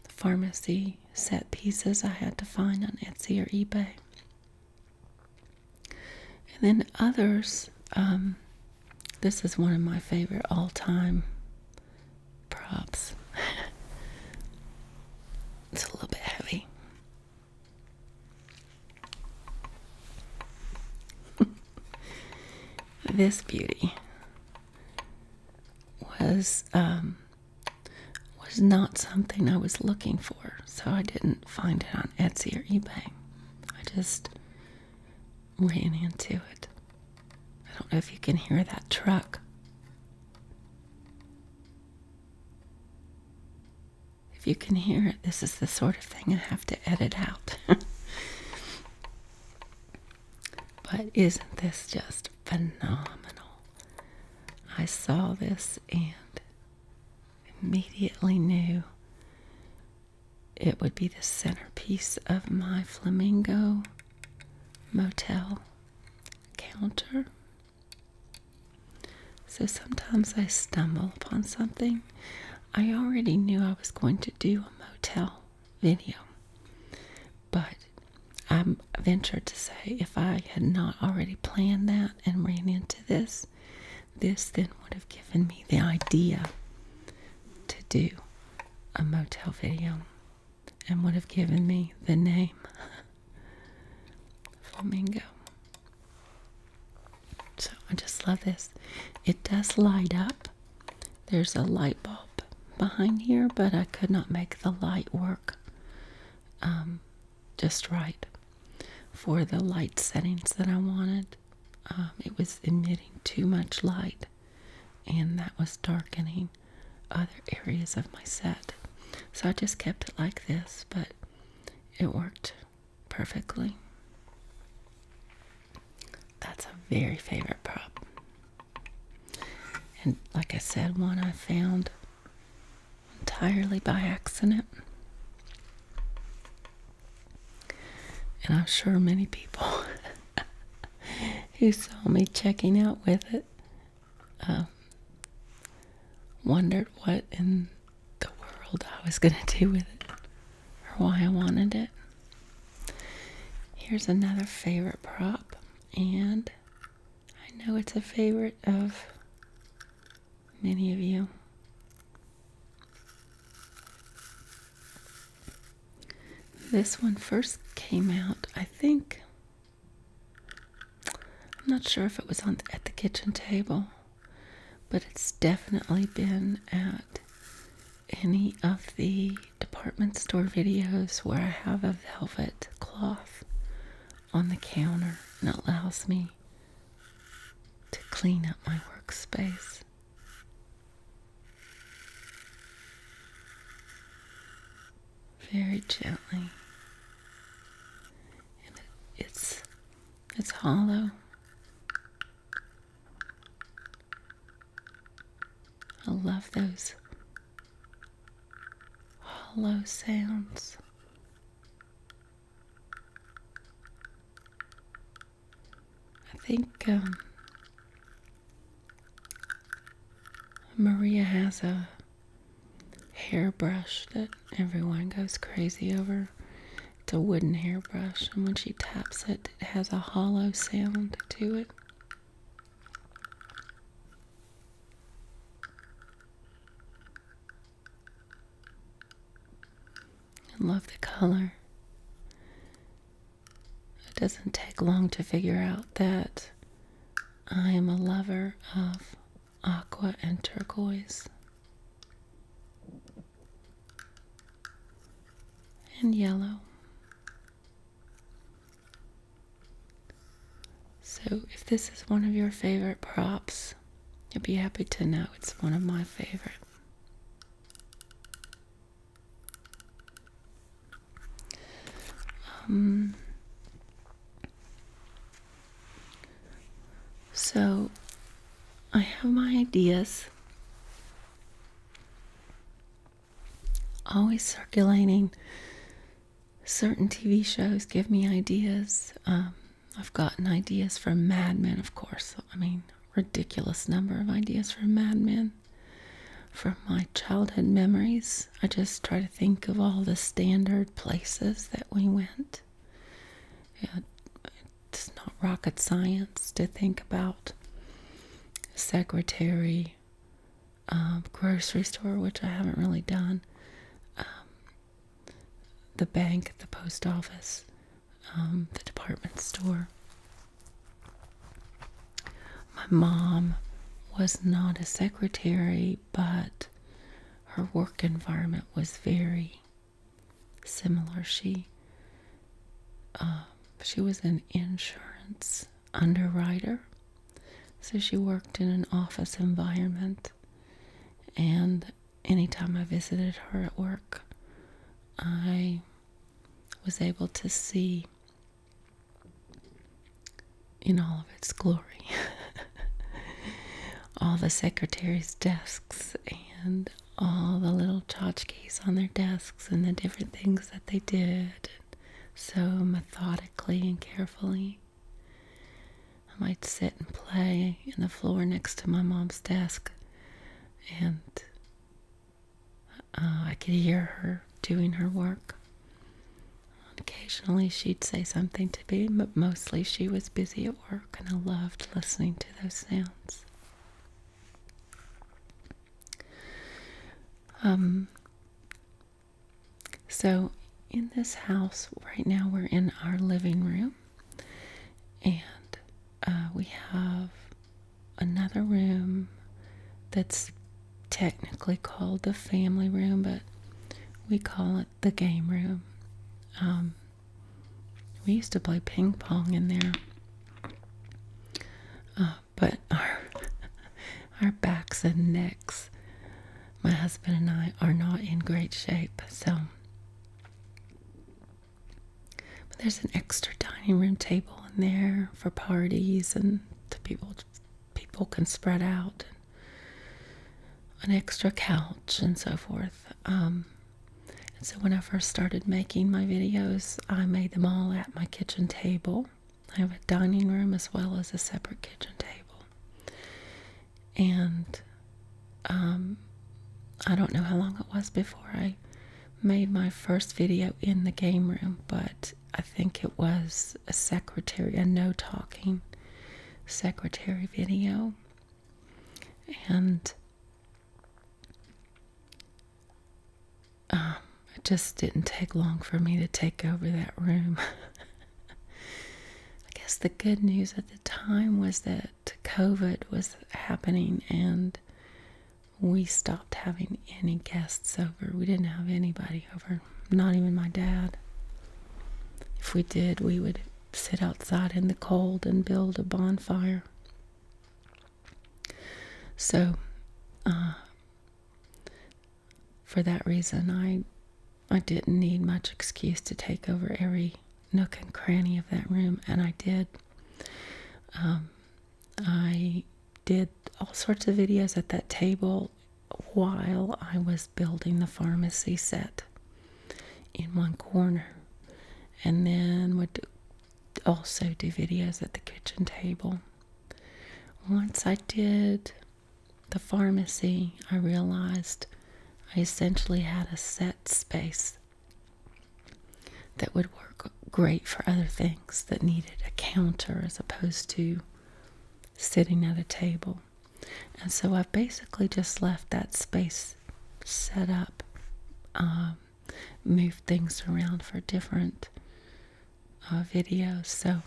pharmacy set pieces I had to find on Etsy or eBay. And then others, um, this is one of my favorite all time props. it's a little bit heavy. this beauty was um, was not something I was looking for so I didn't find it on Etsy or eBay. I just ran into it. I don't know if you can hear that truck. If you can hear it, this is the sort of thing I have to edit out. but isn't this just phenomenal? I saw this and immediately knew it would be the centerpiece of my flamingo motel counter. So sometimes I stumble upon something. I already knew I was going to do a motel video, but I ventured to say if I had not already planned that and ran into this, this. then would have given me the idea to do a motel video and would have given me the name Flamingo. So I just love this. It does light up. There's a light bulb behind here, but I could not make the light work um, just right for the light settings that I wanted. Um, it was emitting too much light, and that was darkening other areas of my set. So I just kept it like this, but it worked perfectly. That's a very favorite prop. And like I said, one I found entirely by accident. And I'm sure many people who saw me checking out with it um, wondered what in the world I was going to do with it or why I wanted it. Here's another favorite prop, and I know it's a favorite of many of you. This one first came out, I think. I'm not sure if it was on at the kitchen table, but it's definitely been at any of the department store videos where I have a velvet cloth on the counter and allows me to clean up my workspace. Very gently, and it's it's hollow. I love those hollow sounds. I think um, Maria has a hairbrush that everyone goes crazy over. It's a wooden hairbrush, and when she taps it, it has a hollow sound to it. And love the color. It doesn't take long to figure out that I am a lover of aqua and turquoise. And yellow. So, if this is one of your favorite props, you'll be happy to know it's one of my favorite. Um, so I have my ideas always circulating. Certain TV shows give me ideas. Um, I've gotten ideas from Mad Men, of course. I mean, ridiculous number of ideas for a madman. From my childhood memories, I just try to think of all the standard places that we went. it's not rocket science to think about secretary, um, grocery store, which I haven't really done, um, the bank, the post office, um, the department store. My mom was not a secretary, but her work environment was very similar. She uh, she was an insurance underwriter, so she worked in an office environment, and anytime I visited her at work, I was able to see in all of its glory all the secretaries' desks and all the little tchotchkes on their desks and the different things that they did so methodically and carefully. I might sit and play in the floor next to my mom's desk and uh, I could hear her doing her work. Occasionally she'd say something to me, but mostly she was busy at work, and I loved listening to those sounds. Um, so, in this house right now, we're in our living room. And uh, we have another room that's technically called the family room, but we call it the game room. Um, we used to play ping pong in there, uh, but our our backs and necks, my husband and I, are not in great shape, so there's an extra dining room table in there for parties and the people people can spread out. An extra couch and so forth. Um, and so when I first started making my videos, I made them all at my kitchen table. I have a dining room as well as a separate kitchen table. And um, I don't know how long it was before I made my first video in the game room, but I think it was a secretary, a no talking secretary video. And um, it just didn't take long for me to take over that room. I guess the good news at the time was that COVID was happening and we stopped having any guests over. We didn't have anybody over, not even my dad. If we did, we would sit outside in the cold and build a bonfire. So, uh, for that reason, I I didn't need much excuse to take over every nook and cranny of that room, and I did. Um, I did all sorts of videos at that table while I was building the pharmacy set in one corner, and then would also do videos at the kitchen table. Once I did the pharmacy, I realized I essentially had a set space that would work great for other things that needed a counter as opposed to sitting at a table. And so I've basically just left that space set up, um, moved things around for different uh, videos. So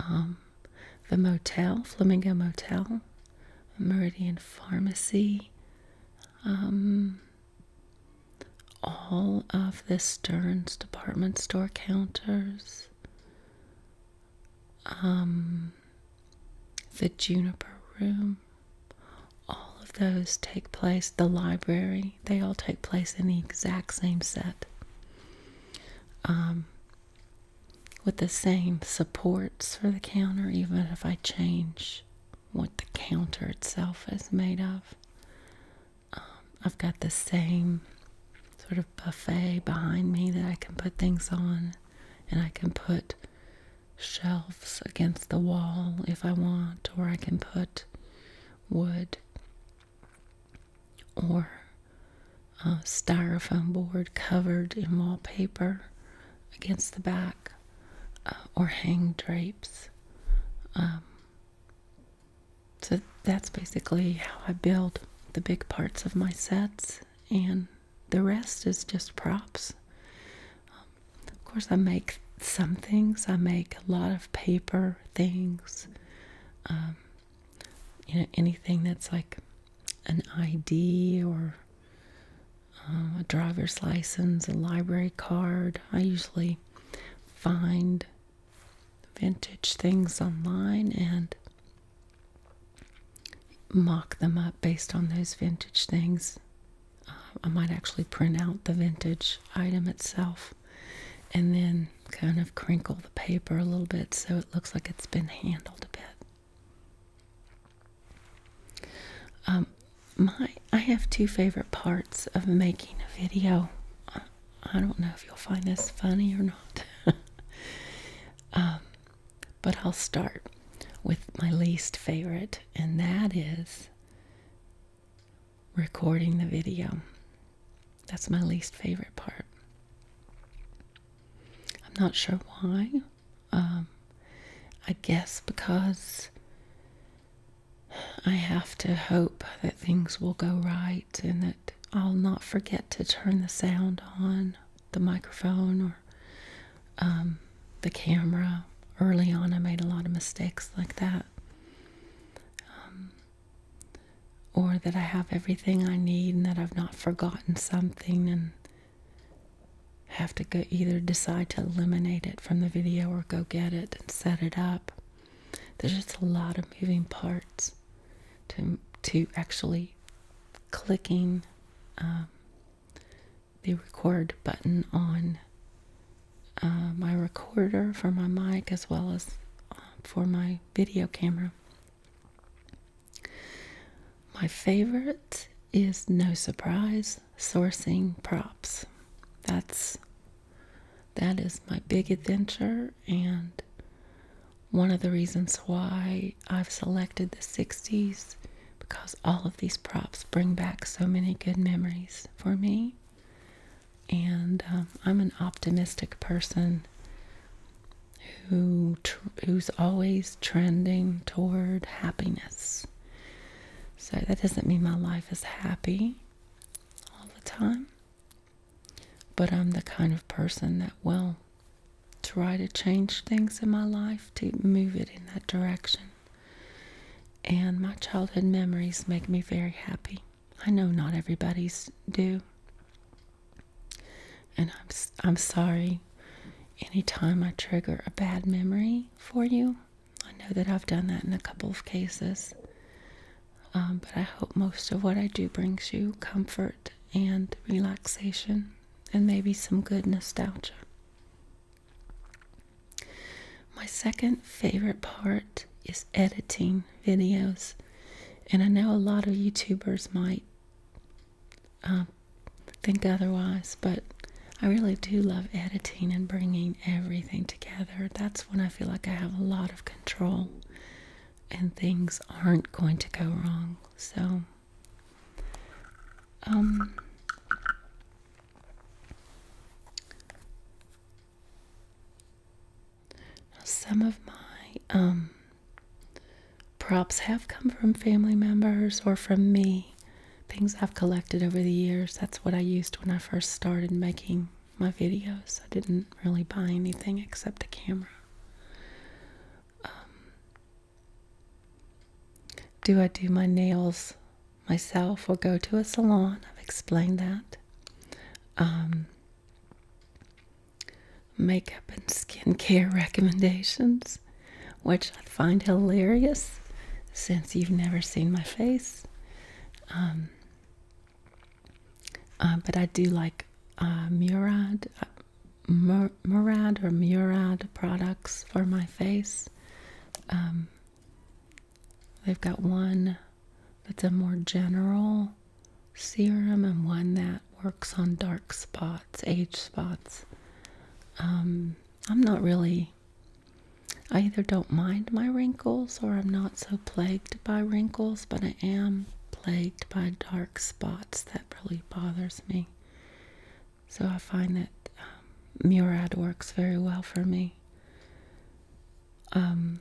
um, the motel, Flamingo Motel, Meridian Pharmacy, um, all of the Stearns department store counters, um, the Juniper Room, all of those take place, the library, they all take place in the exact same set. Um, with the same supports for the counter, even if I change what the counter itself is made of. Um, I've got the same sort of buffet behind me that I can put things on, and I can put shelves against the wall if I want, or I can put wood or a styrofoam board covered in wallpaper against the back uh, or hang drapes. Um, so that's basically how I build the big parts of my sets, and the rest is just props. Um, of course, I make some things. I make a lot of paper things. Um, you know, anything that's like an ID or um, a driver's license, a library card. I usually find vintage things online and mock them up based on those vintage things. Uh, I might actually print out the vintage item itself and then kind of crinkle the paper a little bit so it looks like it's been handled a bit. Um, my I have two favorite parts of making a video. I, don't know if you'll find this funny or not. Um, but I'll start with my least favorite, and that is recording the video. That's my least favorite part. I'm not sure why. Um, I guess because I have to hope that things will go right and that I'll not forget to turn the sound on the microphone or um, the camera. Early on, I made a lot of mistakes like that. Um, or that I have everything I need and that I've not forgotten something and have to go either decide to eliminate it from the video or go get it and set it up. There's just a lot of moving parts to to actually clicking um, the record button on uh, my recorder for my mic as well as um, for my video camera. My favorite is no surprise sourcing props. That's that is my big adventure and one of the reasons why I've selected the 60s because all of these props bring back so many good memories for me. And um, I'm an optimistic person who who's always trending toward happiness. So that doesn't mean my life is happy all the time. But I'm the kind of person that will try to change things in my life to move it in that direction. And my childhood memories make me very happy. I know not everybody's do. And I'm, I'm sorry anytime I trigger a bad memory for you. I know that I've done that in a couple of cases. Um, but I hope most of what I do brings you comfort and relaxation and maybe some good nostalgia. My second favorite part is editing videos. And I know a lot of YouTubers might um, think otherwise, but I really do love editing and bringing everything together. That's when I feel like I have a lot of control and things aren't going to go wrong. So, um, some of my um, props have come from family members or from me things I've collected over the years. That's what I used when I first started making my videos. I didn't really buy anything except a camera. Um, do I do my nails myself or go to a salon? I've explained that. Um, makeup and skincare recommendations, which I find hilarious since you've never seen my face. Um, uh, but I do like uh, Murad, uh, Murad or Murad products for my face. Um, they've got one that's a more general serum and one that works on dark spots, age spots. Um, I'm not really I either don't mind my wrinkles or I'm not so plagued by wrinkles, but I am plagued by dark spots that really bothers me. So I find that um, Murad works very well for me. Um,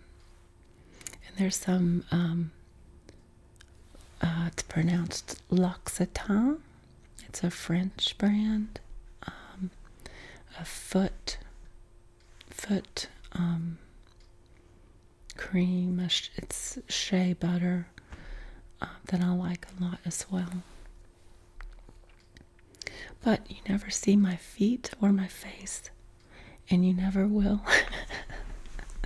and there's some, um, uh, it's pronounced L'Occitane it's a French brand, um, a foot foot um, cream. It's shea butter um, that I like a lot as well. But you never see my feet or my face, and you never will.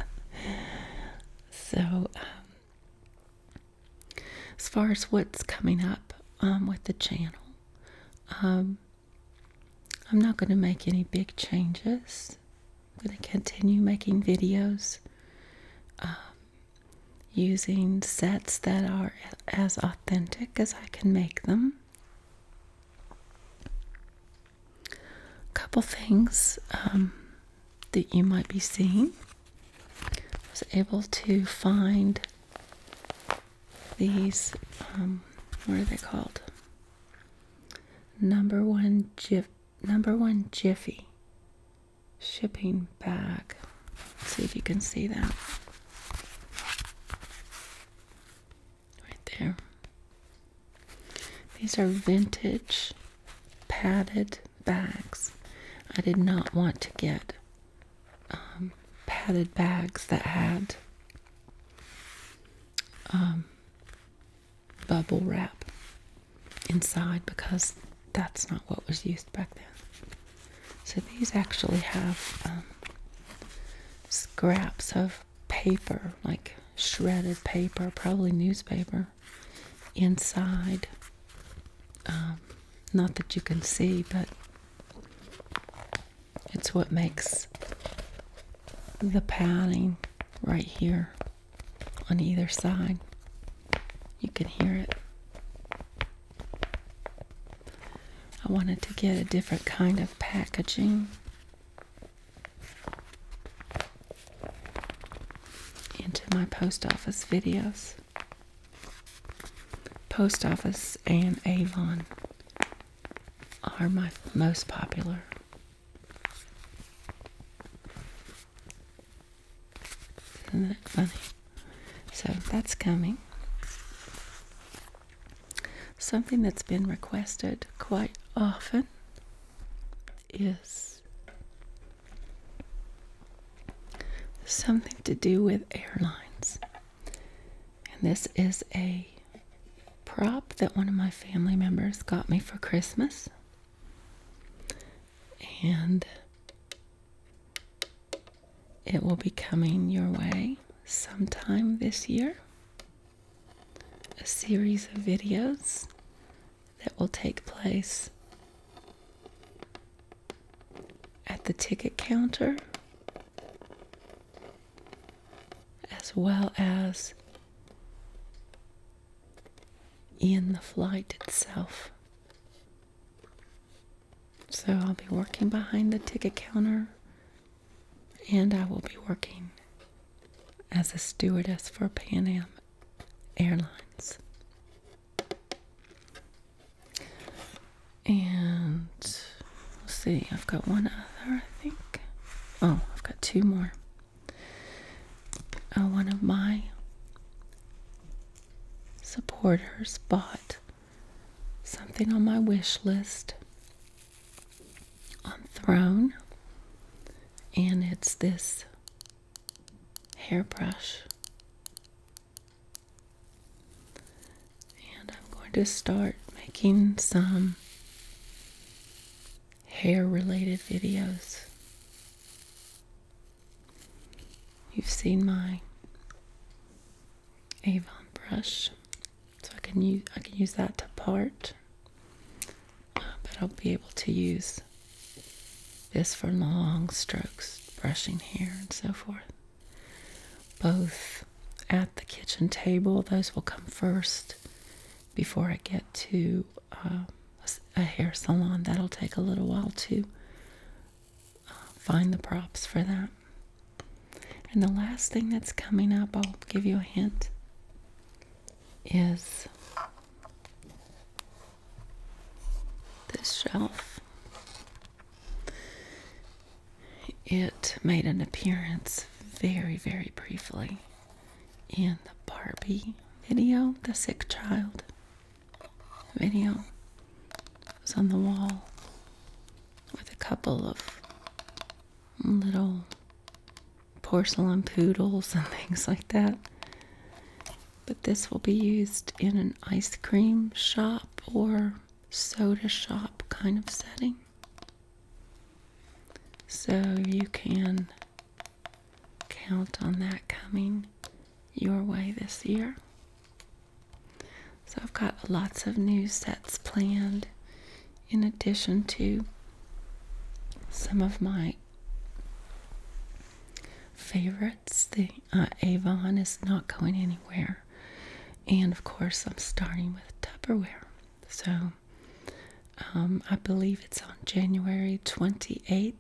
so, as far as what's coming up with the channel, um, I'm not going to make any big changes. I'm going to continue making videos um, using sets that are as authentic as I can make them. A couple things um, that you might be seeing. I was able to find these um, what are they called? Number one jiff number one jiffy shipping bag. see if you can see that. Right there. These are vintage padded bags. I did not want to get um, padded bags that had um, bubble wrap inside because that's not what was used back then. So these actually have um, scraps of paper, like shredded paper, probably newspaper, inside. not that you can see, but it's what makes the padding right here on either side. You can hear it. I wanted to get a different kind of packaging. into my post office videos. Post Office and Avon are my most popular. Isn't that funny? So that's coming. Something that's been requested quite often is something to do with airlines. And this is a prop that one of my family members got me for Christmas. And it will be coming your way sometime this year. A series of videos that will take place at the ticket counter, as well as in the flight itself. So I'll be working behind the ticket counter and I will be working as a stewardess for Pan Am Airlines. And let's see, I've got one other, I think. Oh, I've got two more. Uh, one of my supporters bought something on my wish list on Throne, and it's this hairbrush and I'm going to start making some hair related videos. You've seen my Avon brush, so I can use I can use that to part, uh, but I'll be able to use this for long strokes, brushing hair and so forth both at the kitchen table. Those will come first before I get to uh, a hair salon. That'll take a little while to uh, find the props for that. And the last thing that's coming up, I'll give you a hint, is this shelf it made an appearance very, very briefly in the Barbie video, the sick child video. It was on the wall with a couple of little porcelain poodles and things like that. But this will be used in an ice cream shop or soda shop kind of setting. So you can count on that coming your way this year. So I've got lots of new sets planned in addition to some of my favorites. The uh, Avon is not going anywhere. And of course, I'm starting with Tupperware. So um, I believe it's on January 28th.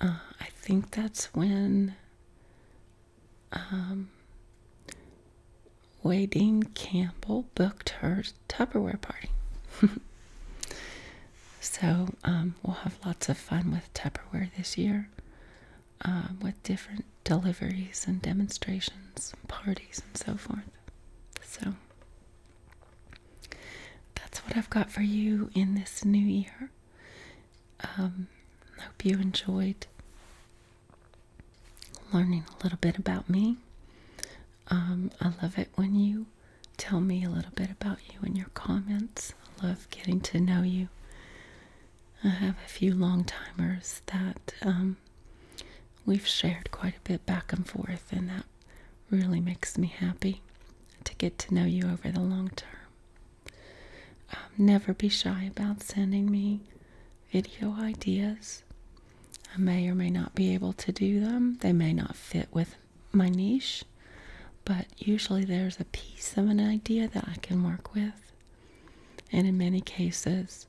Uh, I think that's when um, Wadeen Campbell booked her Tupperware party. so um, we'll have lots of fun with Tupperware this year. Uh, with different deliveries and demonstrations, and parties, and so forth. So that's what I've got for you in this new year. I um, hope you enjoyed learning a little bit about me. Um, I love it when you tell me a little bit about you in your comments. I love getting to know you. I have a few long timers that um, we've shared quite a bit back and forth, and that really makes me happy to get to know you over the long term. Um, never be shy about sending me video ideas. I may or may not be able to do them, they may not fit with my niche, but usually there's a piece of an idea that I can work with and in many cases,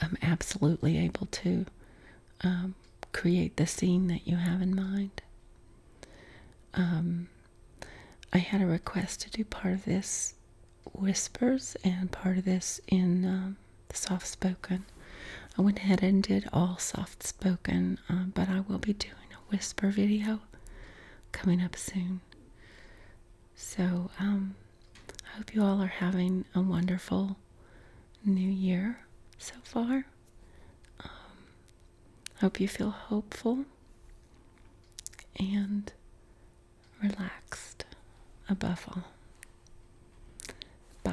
I'm absolutely able to um, create the scene that you have in mind. Um, I had a request to do part of this whispers and part of this in um, soft spoken. I went ahead and did all soft spoken, uh, but I will be doing a whisper video coming up soon. So, um, I hope you all are having a wonderful new year so far. Um, hope you feel hopeful and relaxed above all. Bye.